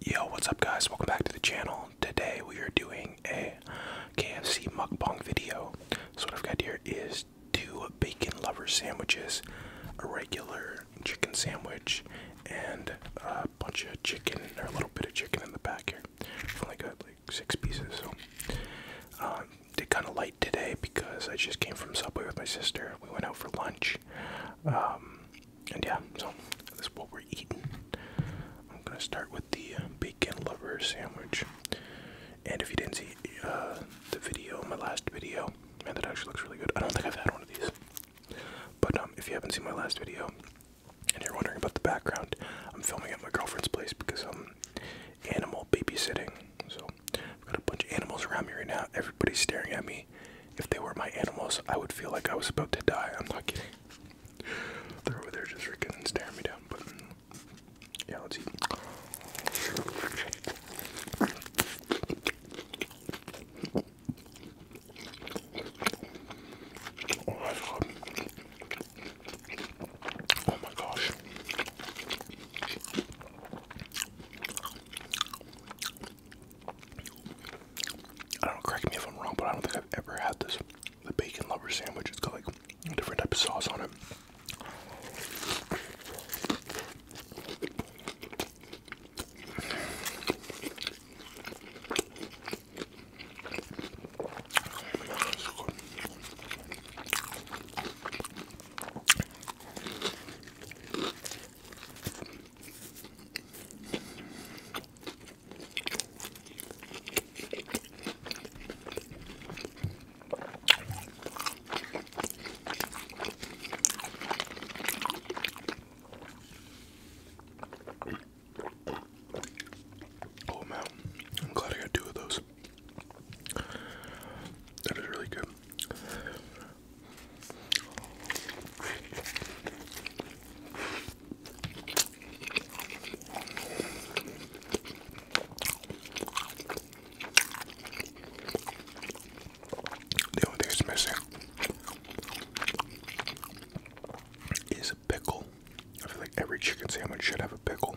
Yo, what's up guys? Welcome back to the channel. Today we are doing a KFC mukbang video. So what I've got here is two bacon lover sandwiches, a regular chicken sandwich, and a bunch of chicken, or a little bit of chicken in the back here. I've only got like six pieces, so um, did kind of light today because I just came from Subway with my sister. We went out for lunch. Um, and yeah, so this is what we're eating. I'm gonna start with the uh, bacon lover sandwich. And if you didn't see uh, the video, my last video, man, that actually looks really good. I don't think I've had one of these. But um, if you haven't seen my last video, and you're wondering about the background, I'm filming at my girlfriend's place because I'm um, animal babysitting. So I've got a bunch of animals around me right now. Everybody's staring at me. If they were my animals, I would feel like I was about to die. I'm not kidding. They're over there just freaking staring me down. But yeah, let's eat. Oh my gosh. I don't know, correct me if I'm wrong, but I don't think I've ever had this. The bacon lover sandwich. It's got like a different type of sauce on it. Oh man, I'm glad I got two of those. That is really good. The only thing that's missing is a pickle. I feel like every chicken sandwich should have a pickle.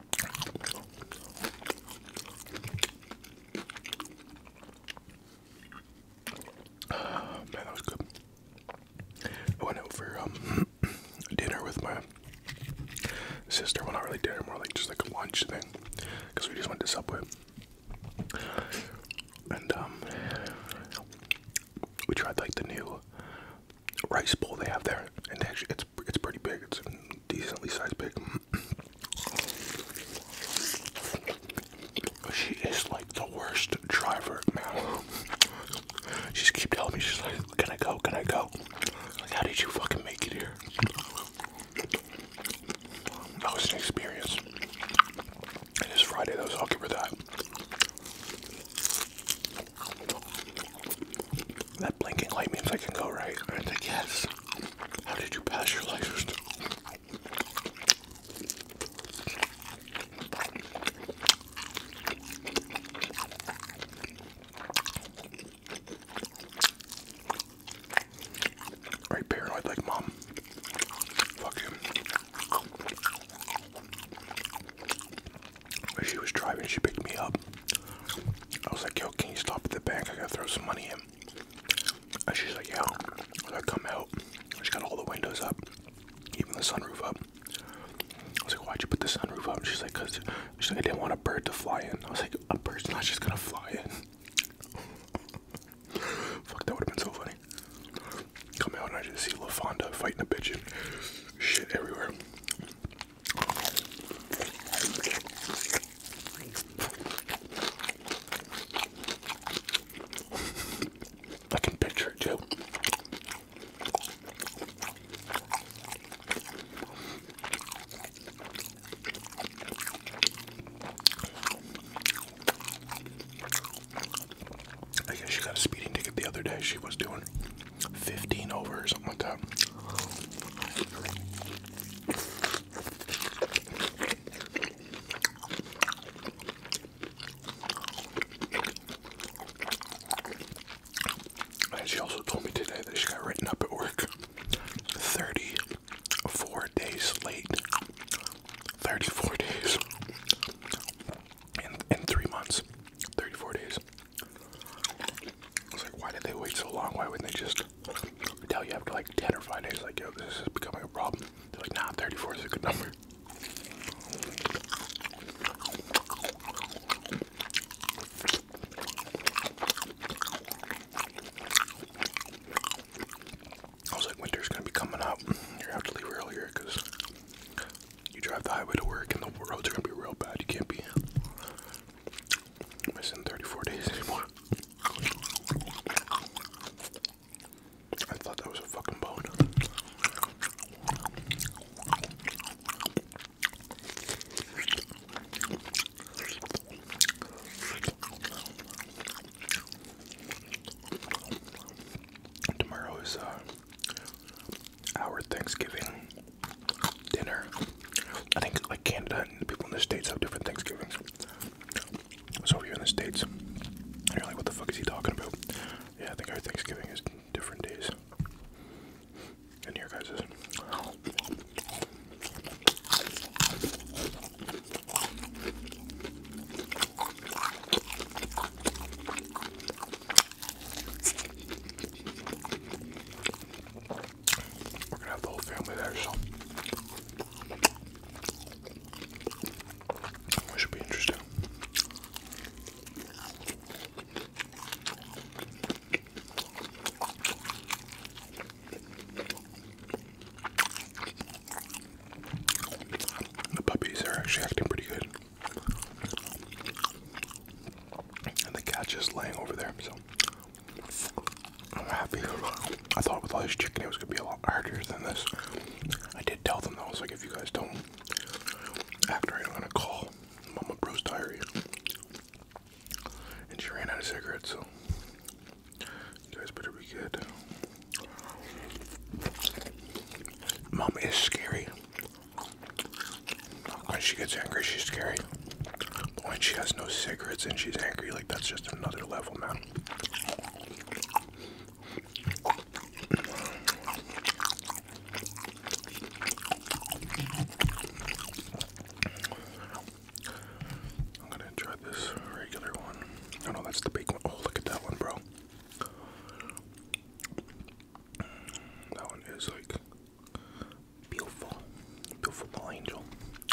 man, that was good. I went out for um, dinner with my sister. we Well, not really dinner, more like just like a lunch thing, because we just went to Subway. And um, we tried like the new rice bowl they have there, and actually, it's it's pretty big. It's a decently sized pig. She is like the worst driver, man. She's keep telling me she's like, "Can I go? Can I go?" Like, how did you fucking make it here? That was an experience. It is Friday though, so I'll give her that. That blinking light means I can go right. I guess. How did you pass your license? Are paranoid like mom? Fuck him she was driving, she picked me up. I was like, yo, can you stop at the bank? I gotta throw some money in. And she's like, yeah. I was like, come out. She got all the windows up, even the sunroof up. I was like, why'd you put the sunroof up? She's like, cause she's like, I didn't want a bird to fly in. I was like, a bird's not just gonna fly in. Fuck, that would've been so funny. Come out and I just see Fonda fighting a pigeon. shit everywhere. I can picture it too. I guess she got a speeding ticket the other day. She was doing. 15 over or something like that. And she also told me today that she got written up at work 34 days late. 34 days. In, in three months. 34 days. I was like, why did they wait so long? Why wouldn't they just tell you after like 10 or 5 days, like, yo, this is becoming a problem? They're like, nah, 34 is a good number. I was like, winter's gonna be coming up. You're have to leave earlier because you drive the highway to work, and the roads are gonna be real bad. You can't be missing 34 days anymore. I thought that was a fucking bone. Tomorrow is uh, our Thanksgiving dinner. I think like Canada and the people in the States have different Thanksgivings. So if you're in the States, you're like, what the fuck is he talking about? Yeah, I think our Thanksgiving is different days. In here, guys' We're gonna have the whole family there, so it should be interesting. The puppies are actually acting pretty good. And the cat just laying over there, so I'm happy. I thought with all this chicken it was gonna be a lot harder than this. I did tell them though, I was like, if you guys don't act right, I'm gonna call Mama Bruce Diary. And she ran out of cigarettes, so you guys better be good. Mama is scary. When she gets angry, she's scary. But when she has no cigarettes and she's angry, like that's just another level, man. I'm gonna try this regular one. Oh no, that's the big one. Oh, look at that one, bro. That one is like beautiful, beautiful angel.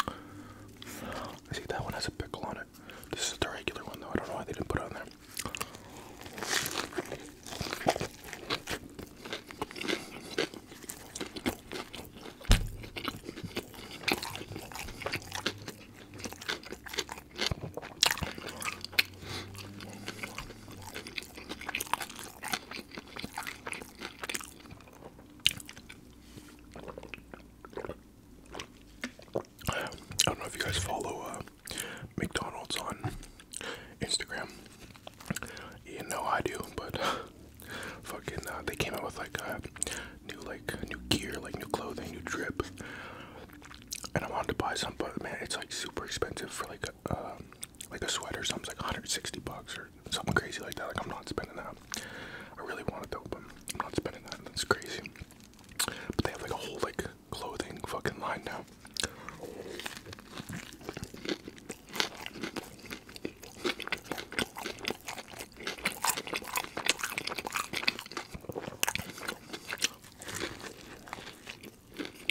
I see that one has a pickle on it. This is the regular one though. I don't know why they didn't put on there. I don't know if you guys follow uh, McDonald's on Instagram. You know I do, but fucking uh, they came out with like a new like new gear, like new clothing, new drip. And I wanted to buy some, but man, it's like super expensive for like um, like a sweater, something like 160 bucks or something crazy like that. Like I'm not spending that. I really want it though, but I'm not spending that. That's crazy. But they have like a whole like clothing fucking line now.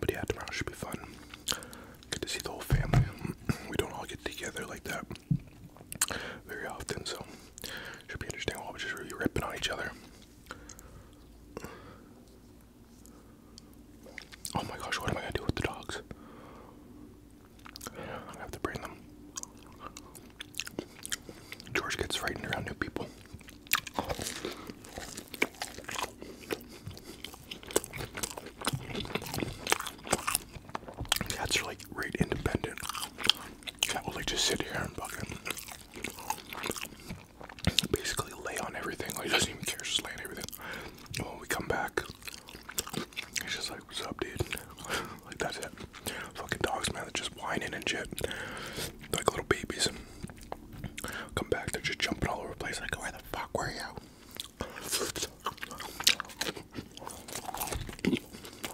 But yeah, tomorrow should be fun. Good to see the whole family. We don't all get together like that very often, so should be interesting. we are just really ripping on each other. Oh my gosh, what am I gonna do with the dogs? i have to bring them. George gets frightened around new people. Cats are like rate independent. I will like just sit here and fucking basically lay on everything. Like doesn't even care, just laying everything. when we come back, it's just like, what's up, dude? like that's it. Fucking dogs, man, that are just whining and shit, like little babies. Come back, they're just jumping all over the place. Like, where the fuck were you?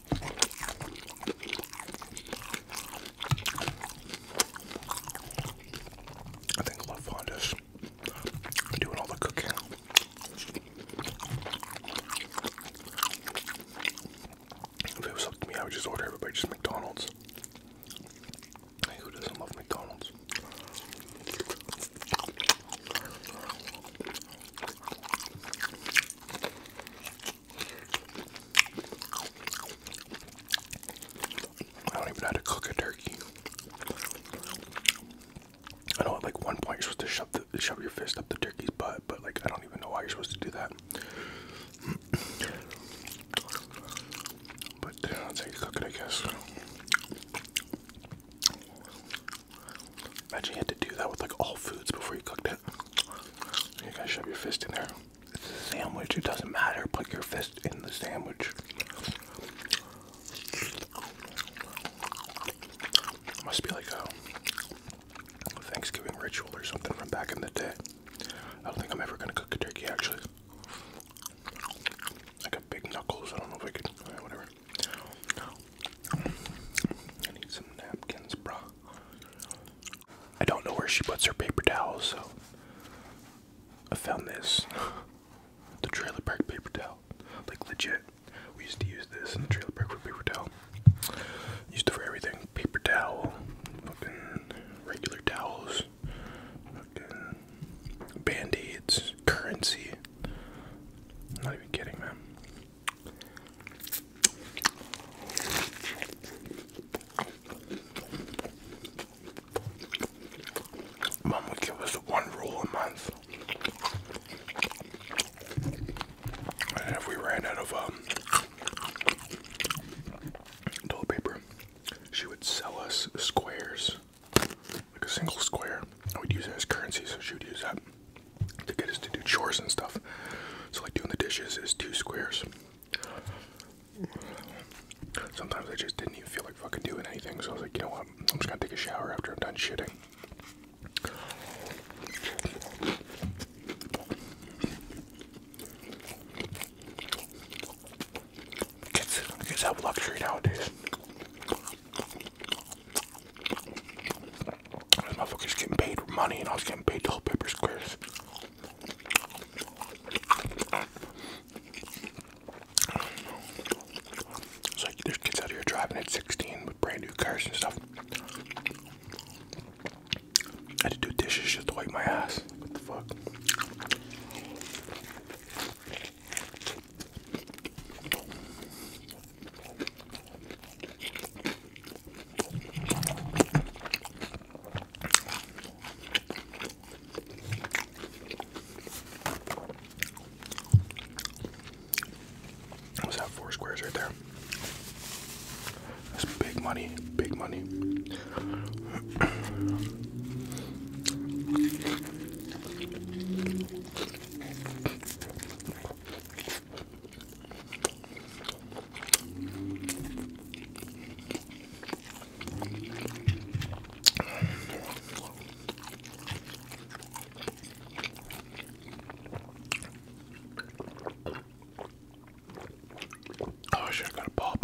I think I LaFonda's doing all the cooking. If it was up to me, I would just order everybody just McDonald's. who doesn't love McDonald's? I don't even know how to cook a turkey. I know at like one point you're supposed to shove, the, shove your fist up the turkey's butt, but like I don't even know why you're supposed to do that. but uh, that's how you cook it, I guess. Imagine you had to do that with like all foods before you cooked it. You gotta shove your fist in there. It's a sandwich, it doesn't matter. Put your fist in the sandwich. must be like a Thanksgiving ritual or something from back in the day. I don't think I'm ever gonna cook a turkey actually. I got big knuckles, I don't know if I could, whatever. I need some napkins, bro. I don't know where she puts her paper towels, so I found this. the trailer park paper towel. Like legit. We used to use this in the trailer park for paper towel. Used it for everything. Paper towel, fucking regular towels, band-aids, currency. not even kidding, man. Mom would give us one roll a month. And if we ran out of um, toilet paper, she would sell us squares, like a single square. I would use it as currency, so she would use that to get us to do chores and stuff. So like doing the dishes is two squares. Sometimes I just didn't even feel like fucking doing anything, so I was like, you know what, I'm just gonna take a shower after I'm done shitting. Gets, gets luxury nowadays. My motherfuckers getting paid for money and I was getting paid to hold paper squares. It's like there's kids out here driving at 16 with brand new cars and stuff. I had to do dishes just to wipe my ass. What the fuck? What's that? Four squares right there. That's big money, big money. Oh shit, I gotta pop.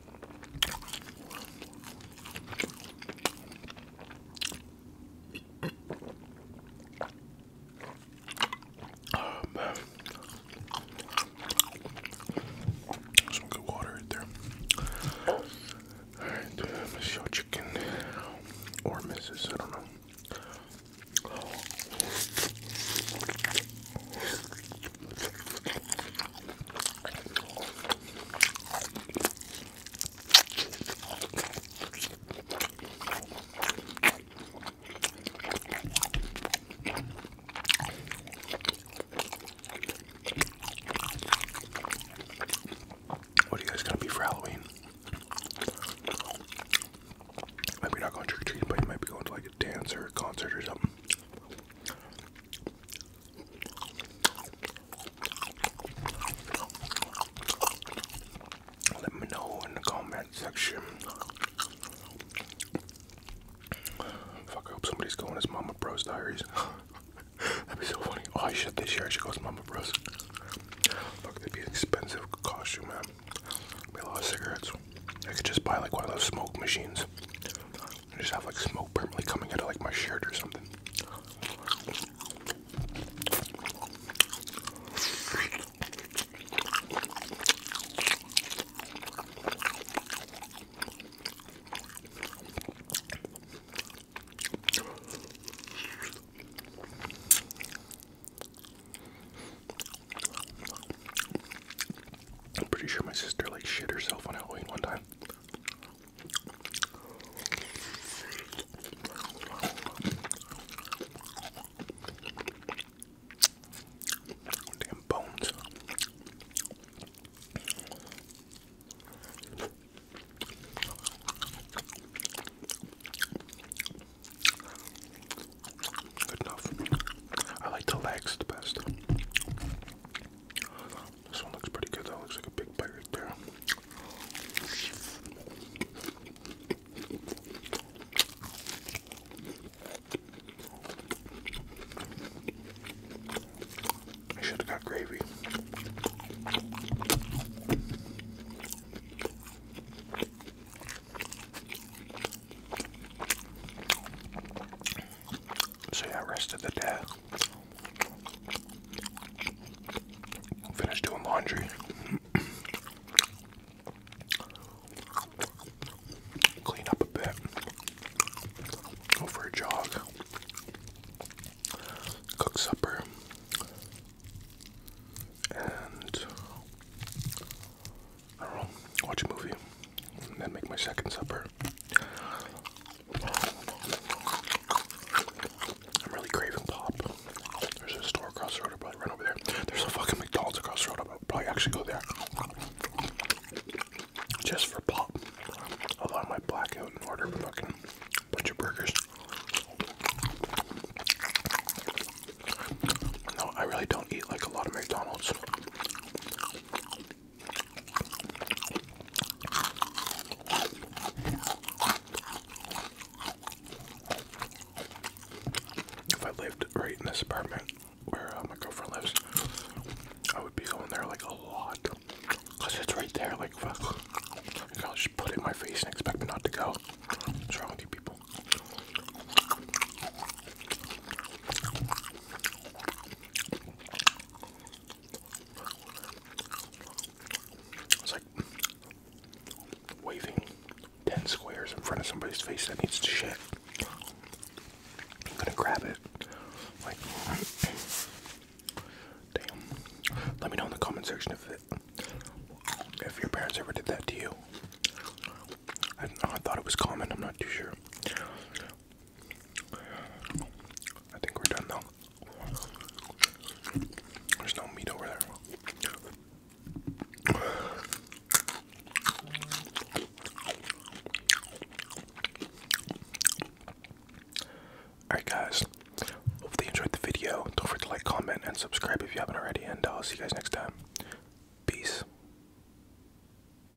Oh Some good water right there. Alright, uh, Chicken. Or Mrs. I don't know. What are you guys gonna be for Halloween? Maybe not going trick or treating, but you might be going to like a dance or a concert or something. Let me know in the comment section. Fuck, I hope somebody's going as Mama Bros Diaries. That'd be so funny. Oh, I should this year. I should go as Mama Bros. Fuck, that'd be an expensive costume, man. It'd cigarettes. I could just buy like one of those smoke machines. I just have like smoke permanently coming out of like my shirt or something. I'm pretty sure my sister like shit herself on Halloween one time. Damn bones. Good enough. I like the legs the best. This one looks pretty good though. Looks like a big bite right there. I should have got gravy. So yeah, rest of the day. Finish doing laundry. Clean up a bit. Go for a jog. Cook supper. And watch a movie. And then make my second supper. I'm really craving pop. There's a store across the road, probably right over there. There's a fucking McDonald's across the road. i probably actually go there just for pop. Although I might black out and order a fucking bunch of burgers. No, I really don't eat like a lot of McDonald's. If I lived right in this apartment where uh, my girlfriend lives, I would be going there like a lot. Cause it's right there, like fuck. I'll just put it in my face and expect me not to go. What's wrong people? It's like waving 10 squares in front of somebody's face that needs to shit. I'm gonna grab it. Like, damn. Let me know in the comment section if if your parents ever did that to you. I thought it was common, I'm not too sure. I think we're done though. There's no meat over there. Alright, guys. Hopefully, you enjoyed the video. Don't forget to like, comment, and subscribe if you haven't already. And I'll see you guys next time. Peace.